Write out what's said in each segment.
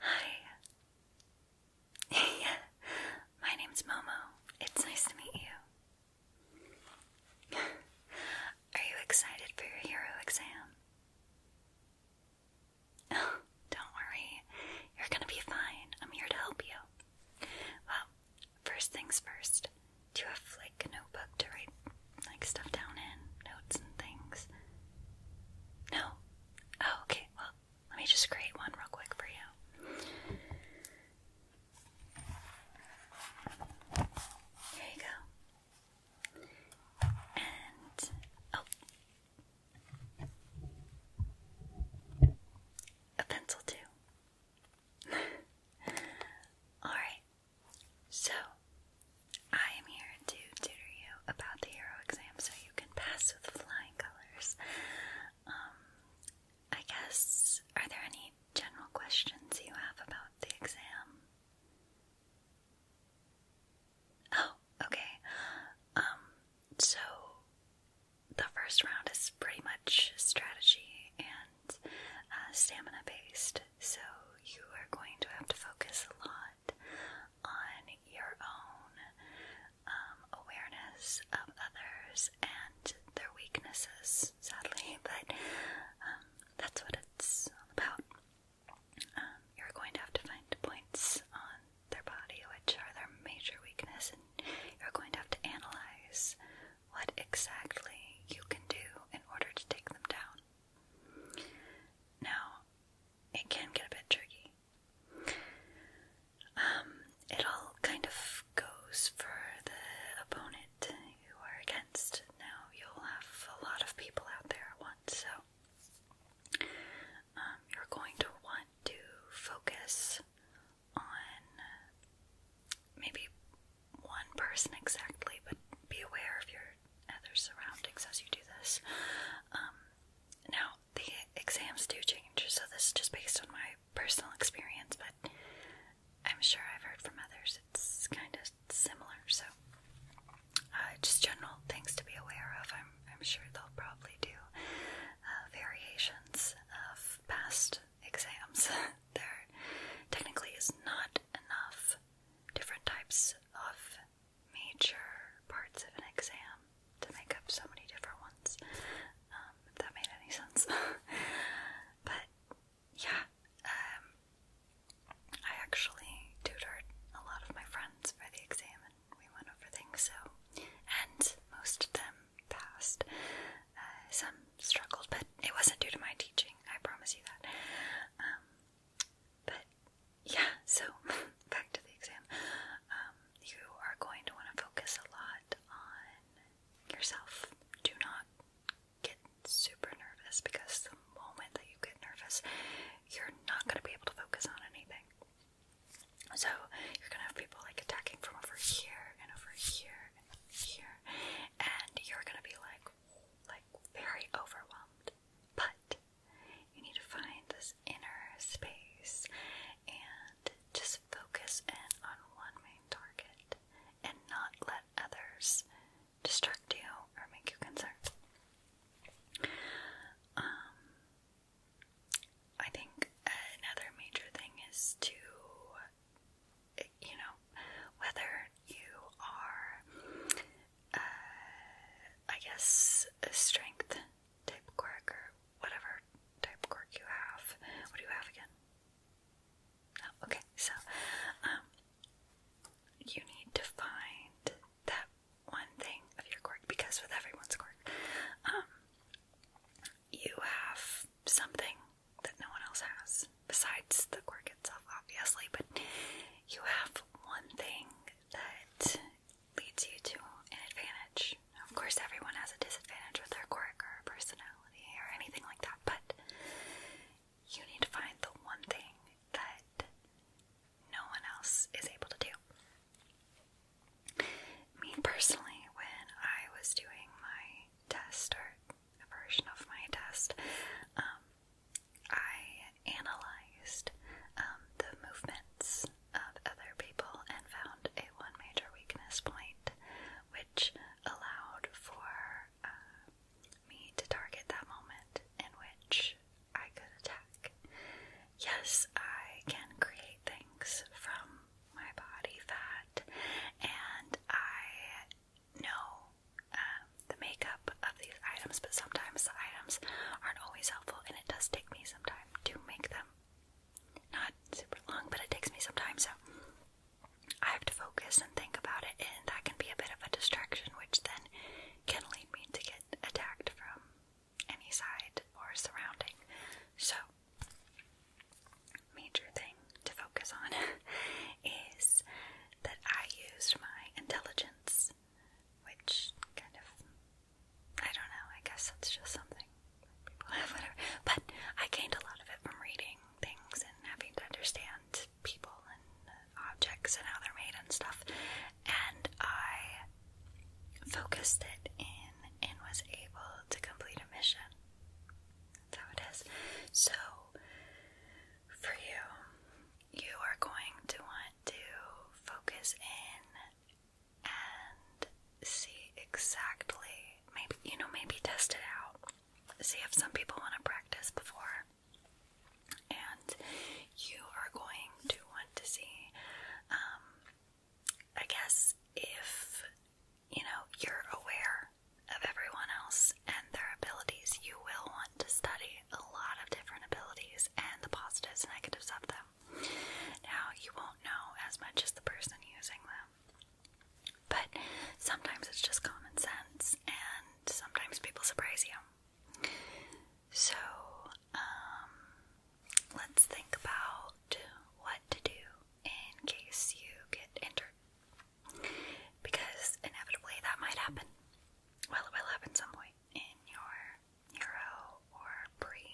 Hi. my name's Momo. It's nice to meet you. Are you excited for your hero exam? don't worry. You're gonna be fine. I'm here to help you. Well, first things first. Do you have flu? a notebook to write like stuff down in, notes and things. No. Oh, okay. Well, let me just create one real quick for you. Here you go. And oh. a pencil too. All right. So, I am here to tutor you about the hero exam so you can pass with flying colors. Um, I guess, are there any general questions you have about the exam? Oh, okay. Um, so the first round is pretty much strategy and uh, stamina based. So you are going to have to focus a lot on your own um, awareness of others and their weaknesses, sadly, but um, that's what it's all about. Um, you're going to have to find points on their body which are their major weakness, and you're going to have to analyze what exactly you can do in order to take them down. Now, it can get a bit tricky. Um, it all kind of goes for the opponent you are against. Now, you'll have a lot of people out there at once, so um, you're going to want to focus on maybe one person exactly, but be aware of your other surroundings as you do this. Um, now, the exams do change, so this is just based on my personal experience, but I'm sure I've heard from others it's kind of similar, so uh, just general things to be aware of. I'm, I'm sure they'll probably do uh, variations of past exams. there technically is not enough different types of major parts of an exam to make up so many different ones. Um, if that made any sense. but yeah, um, I actually tutored a lot of my friends for the exam and we went over things, so, and most of them passed. Uh, some struggled, but it wasn't due to my teaching, I promise you that. Um, but yeah, so back to the exam. Um, you are going to want to focus a lot on yourself. Do not get super nervous because the moment that you get nervous, you're not going to be able to focus on anything. So you're going to have people like attacking from over here and over here and here, and you're going to be like, like very overwhelmed. But you need to find this inner space and just focus in on one main target and not let others distract you or make you concerned. Um, I think another major thing is to you know, whether you are, uh, I guess, a strength type quirk or whatever type quirk you have. What do you have again? okay, so, um, you need to find that one thing of your quirk because with everyone's quirk, um, you have something that no one else has, besides the quirk itself, obviously, but you have one thing that leads you to an advantage. of course, everyone has a disadvantage with their quirk or personality or anything like that, but you need to find the one thing that no one else is able to do. Me personally, when I was doing my test or version of my test, um, I analyzed um, the movements of other people and found a one major weakness point, which allowed for uh, me to target that moment in which I could attack. Yes, I can create things from my body fat, and I know um, the makeup of these items, but sometimes the items aren't always helpful, and it does take me some time to make them. Not super long, but it takes me some time, so I have to focus and think about it, and that can be a bit of a distraction, which then can lead me to get attacked from any side or surrounding. So, major thing to focus on is that I used my intelligence, which kind of, I don't know, I guess that's just something people have, whatever. But I gained a lot of it from reading things and having to understand people and objects and how they're made and stuff. And I focused it in and was able to complete a mission. That's it is. So for you. You are going to want to focus in and see exactly, maybe, you know, maybe test it out. See if some people want to practice before. And you are going to want to see, um, I guess, if you know you're aware of everyone else and their abilities. You will want to study a lot of different abilities and the positives and negatives of them. Now, you won't know as much as the person using them, but sometimes it's just common sense, and sometimes people surprise you. So, um, let's think about what to do in case you get injured. Because inevitably that might happen. Well, it will happen some point in your Euro or pre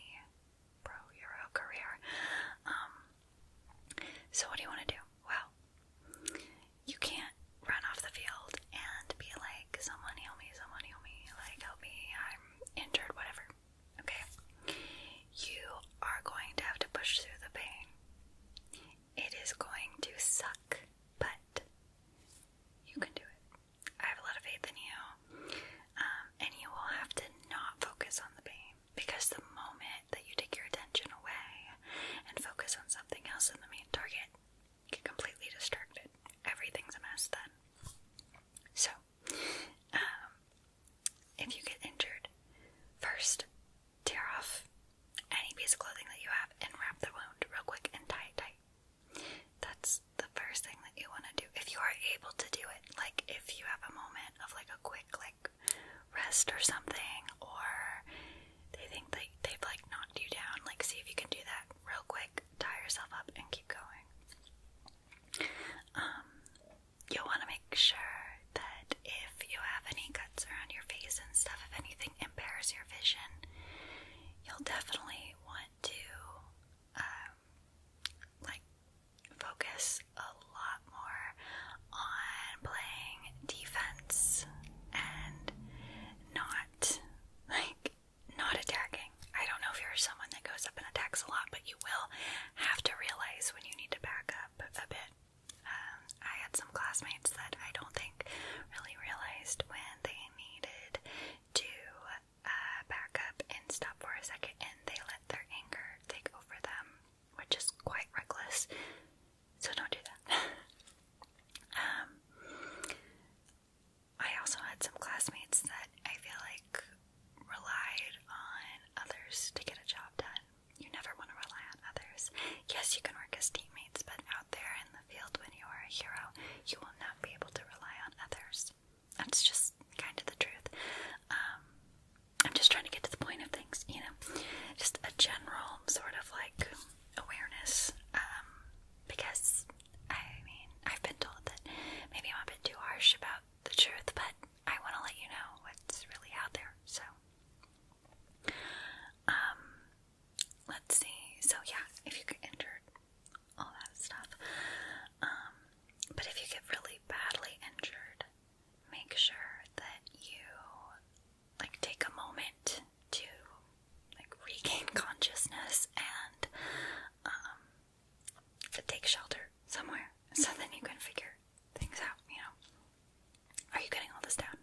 pro Euro career. Um, so, what do you want to do? Well, you can't run off the field and be like, someone heal me, someone heal me, like, help me, I'm injured, whatever. Okay? You are going to have to push through the pain. It is going to suck, but you can do it. I have a lot of faith in you. Um, and you will have to not focus on the pain because the moment that you take your attention away and focus on something else in the main target, you get completely distracted. Everything's a mess then. So, um, if you get injured, first tear off any piece of clothing that you have and wrap the wound real quick and tie tight. That's the first thing that you want to do if you are able to do it. Like if you have a moment of like a quick like rest or something, or they think like they've like knocked you down. Like see if you can do that real quick. Tie yourself up and keep going. Um, you'll want to make sure that if you have any cuts around your face and stuff, if anything impairs your vision, you'll definitely want to um, like focus a lot more on playing defense and not like not attacking. I don't know if you're someone that goes up and attacks a lot, but you will have to realize when you need to back up a bit. Um, I had some classmates that I don't think really realized when they needed to uh, back up and stop for a second, and they let their anger take over them, which is quite reckless. So don't do that. um, I also had some classmates that I feel like relied on others to get a job done. You never want to rely on others. Yes, you can work as teammates, but out there in the field when you are a hero, you will not be able to rely on others. That's just kind of the truth. Um, I'm just trying to get to the point of things, you know, just a general sort of like awareness. Um, because I mean, I've been told that maybe I'm a bit too harsh about the truth, but I want to let you know what's really out there. So um, let's see. So yeah, if you get injured, all that stuff. Um, but if you get really badly injured, make sure that you like take a moment to like regain consciousness and um take shelter somewhere so then you can figure things out, you know. Are you getting all this down?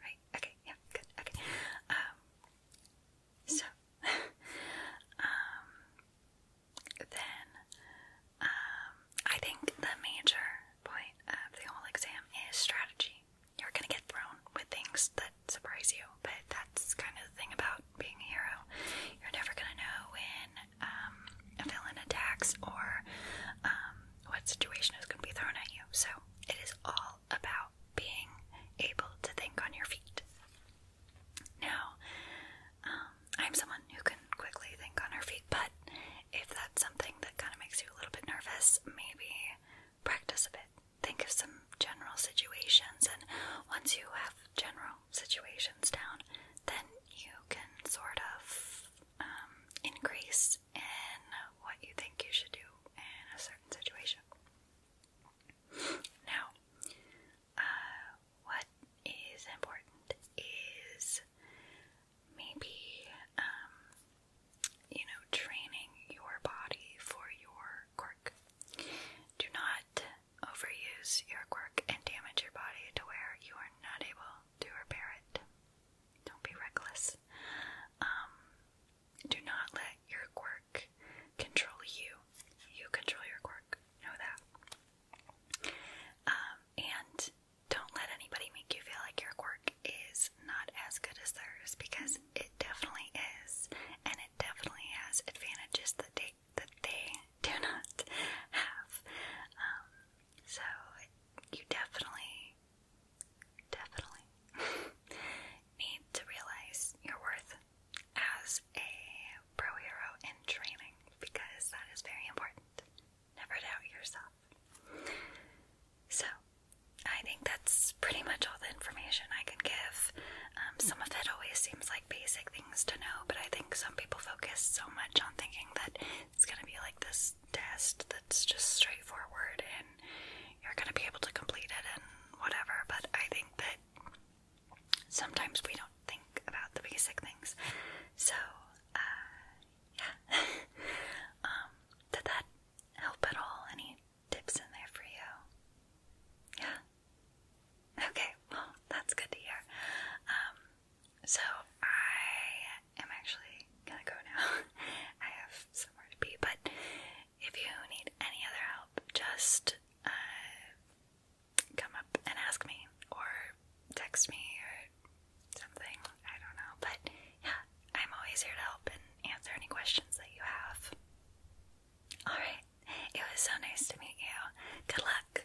Right? Okay, yeah, good, okay. Um, so, um, then, um, I think the major point of the whole exam is strategy. You're gonna get thrown with things that surprise you, but that's kind of the thing about being a hero. You're never gonna know when um, villain attacks or um, what situation is going to be thrown at you. So it is all about being able to think on your feet. Now, um, I'm someone who can quickly think on her feet, but if that's something that kind of makes you a little bit nervous, maybe practice a bit. Think of some general situations, and once you have general situations down, then you can sort of um, increase in what you think you should do in a certain situation. Now, uh, what is important is maybe, um, you know, training your body for your quirk. Do not overuse your quirk and damage your body to where you are not able do repair it. Don't be reckless. Um, do not let your quirk control you. You control your quirk. Know that. Um, and don't let anybody make you feel like your quirk is not as good as theirs because it definitely is, and it definitely has advantages that they that they do not have. Um, so you definitely, definitely need to realize your worth as a pro hero in training because that is very important. Never doubt yourself. So, I think that's pretty much all the information I can give. Um, some of it always seems like basic things to know, but I think some people focus so much on thinking that it's gonna be like this test that's just straightforward and you're gonna be able to complete it and whatever, but I think that sometimes we don't think about the basic things. So, uh, yeah. um, did that help at all? Any tips in there for you? Yeah? Okay, well, that's good to hear. Um, so I am actually gonna go now. I have somewhere to be, but if you need any other help, just uh, come up and ask me, or text me, or something. I don't know, but yeah, I'm always here to help and answer any questions that you have. Alright, it was so nice to meet you. Good luck.